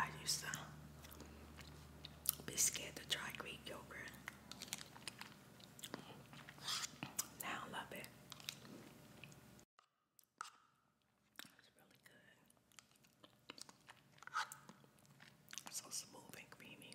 I used to be scared to try Greek yogurt I love it. It's really good. So smooth and creamy.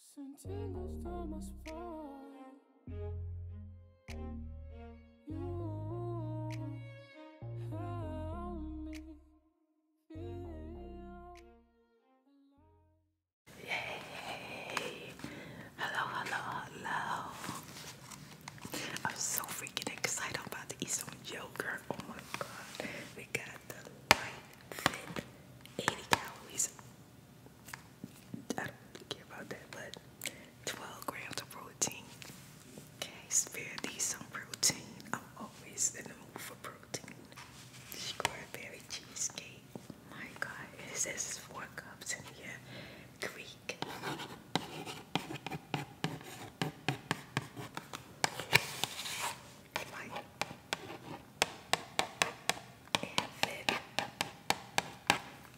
Sentindo os tomas fora. Yay! Hello, hello, hello. I'm so freaking excited. about to eat some yogurt. Oh my god. We got the light 80 calories I don't care about that, but 12 grams of protein. Okay, spare these some protein. I'm always in the mood for protein. Strawberry cheesecake. My God, it says four cups in here. Greek and fit fit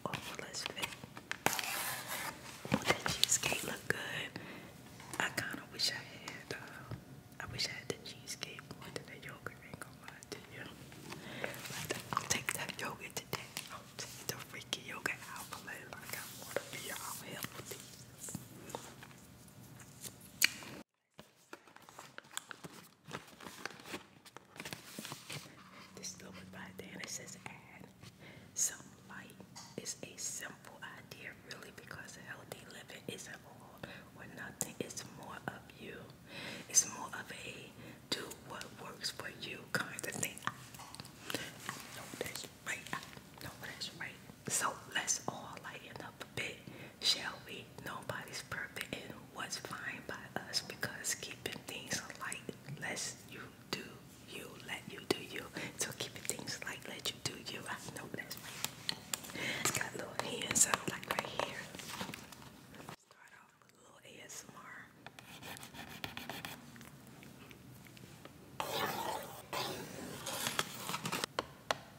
oh that cheesecake look good I kind of wish I had I wish I had the cheesecake more I'll take that yogurt today I'll the freaking yogurt out but like I want to be all healthy this little one by there it says add. Some light is a simple idea, really, because healthy living isn't all or nothing. It's more of you. It's more of a do what works for you kind of thing. know that's right. know that's right. So let's all lighten up a bit Shall we? Nobody's perfect and what's fine by us because keeping things light lets you do you, let you do you. So keeping things light, let you do you. I know that's right. It's got little hands up like right here. Start off with a little ASMR. I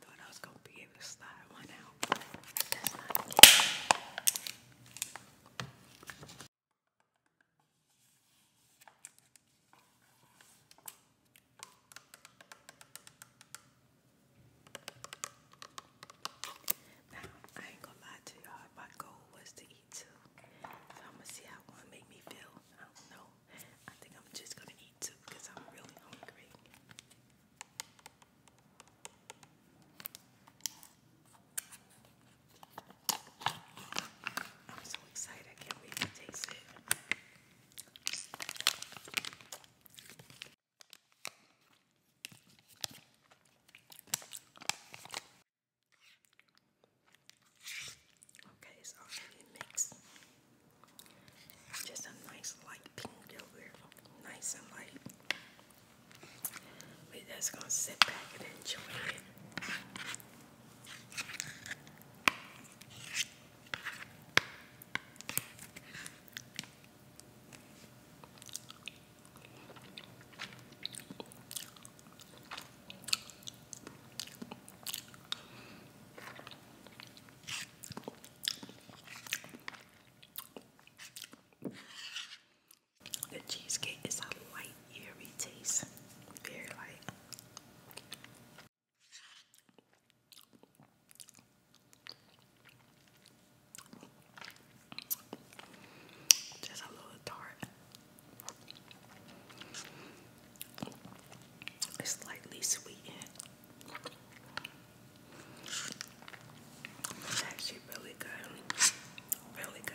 thought I was going to be able to slide one out. That's not it. Now, I ain't gonna lie to y'all, my goal was to eat two. So I'm gonna see how one make me feel. I don't know. I think I'm just gonna eat two I'm really hungry. I'm so excited, I can't wait to taste it. Okay, it's already mixed. Just a nice light pink yogurt. Nice and light. we just gonna sit back and enjoy it. The cheesecake is a light, airy taste, very light. Just a little tart. It's slightly sweetened. actually really good. Really good.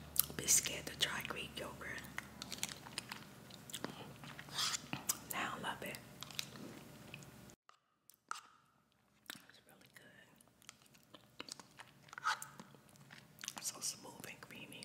be scared to try Greek yogurt. Now love it. It's really good. So smooth and creamy.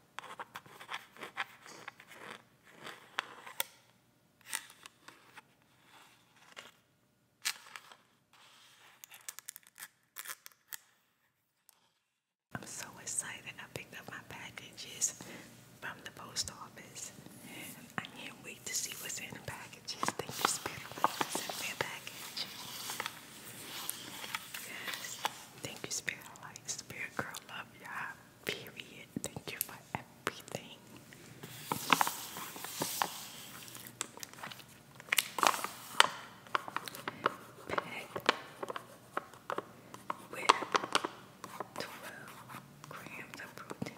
I'm so excited. I picked up my packages from the post office. I can't wait to see what's in the packages. Thank you, Spirit, for me a package. Yes. Thank you, Spirit Light. Spirit Girl Love, y'all. Period. Thank you for everything. Packed with 12 grams of protein.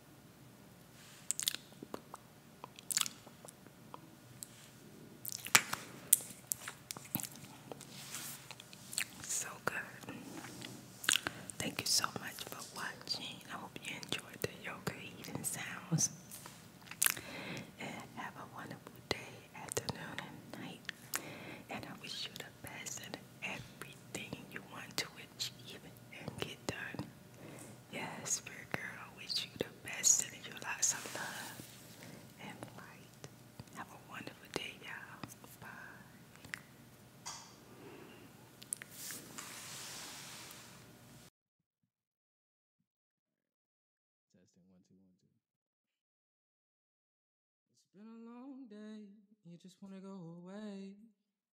So good. Thank you so much for watching. I hope you enjoyed the yoga eating sounds. And have a wonderful day, afternoon, and night. And I wish you the best in everything you want to achieve and get done. Yes, spirit girl, wish you the best, in your lots of love and light. Have a wonderful day, y'all. Bye. Testing one, two, one, two. It's been a long day, you just want to go away.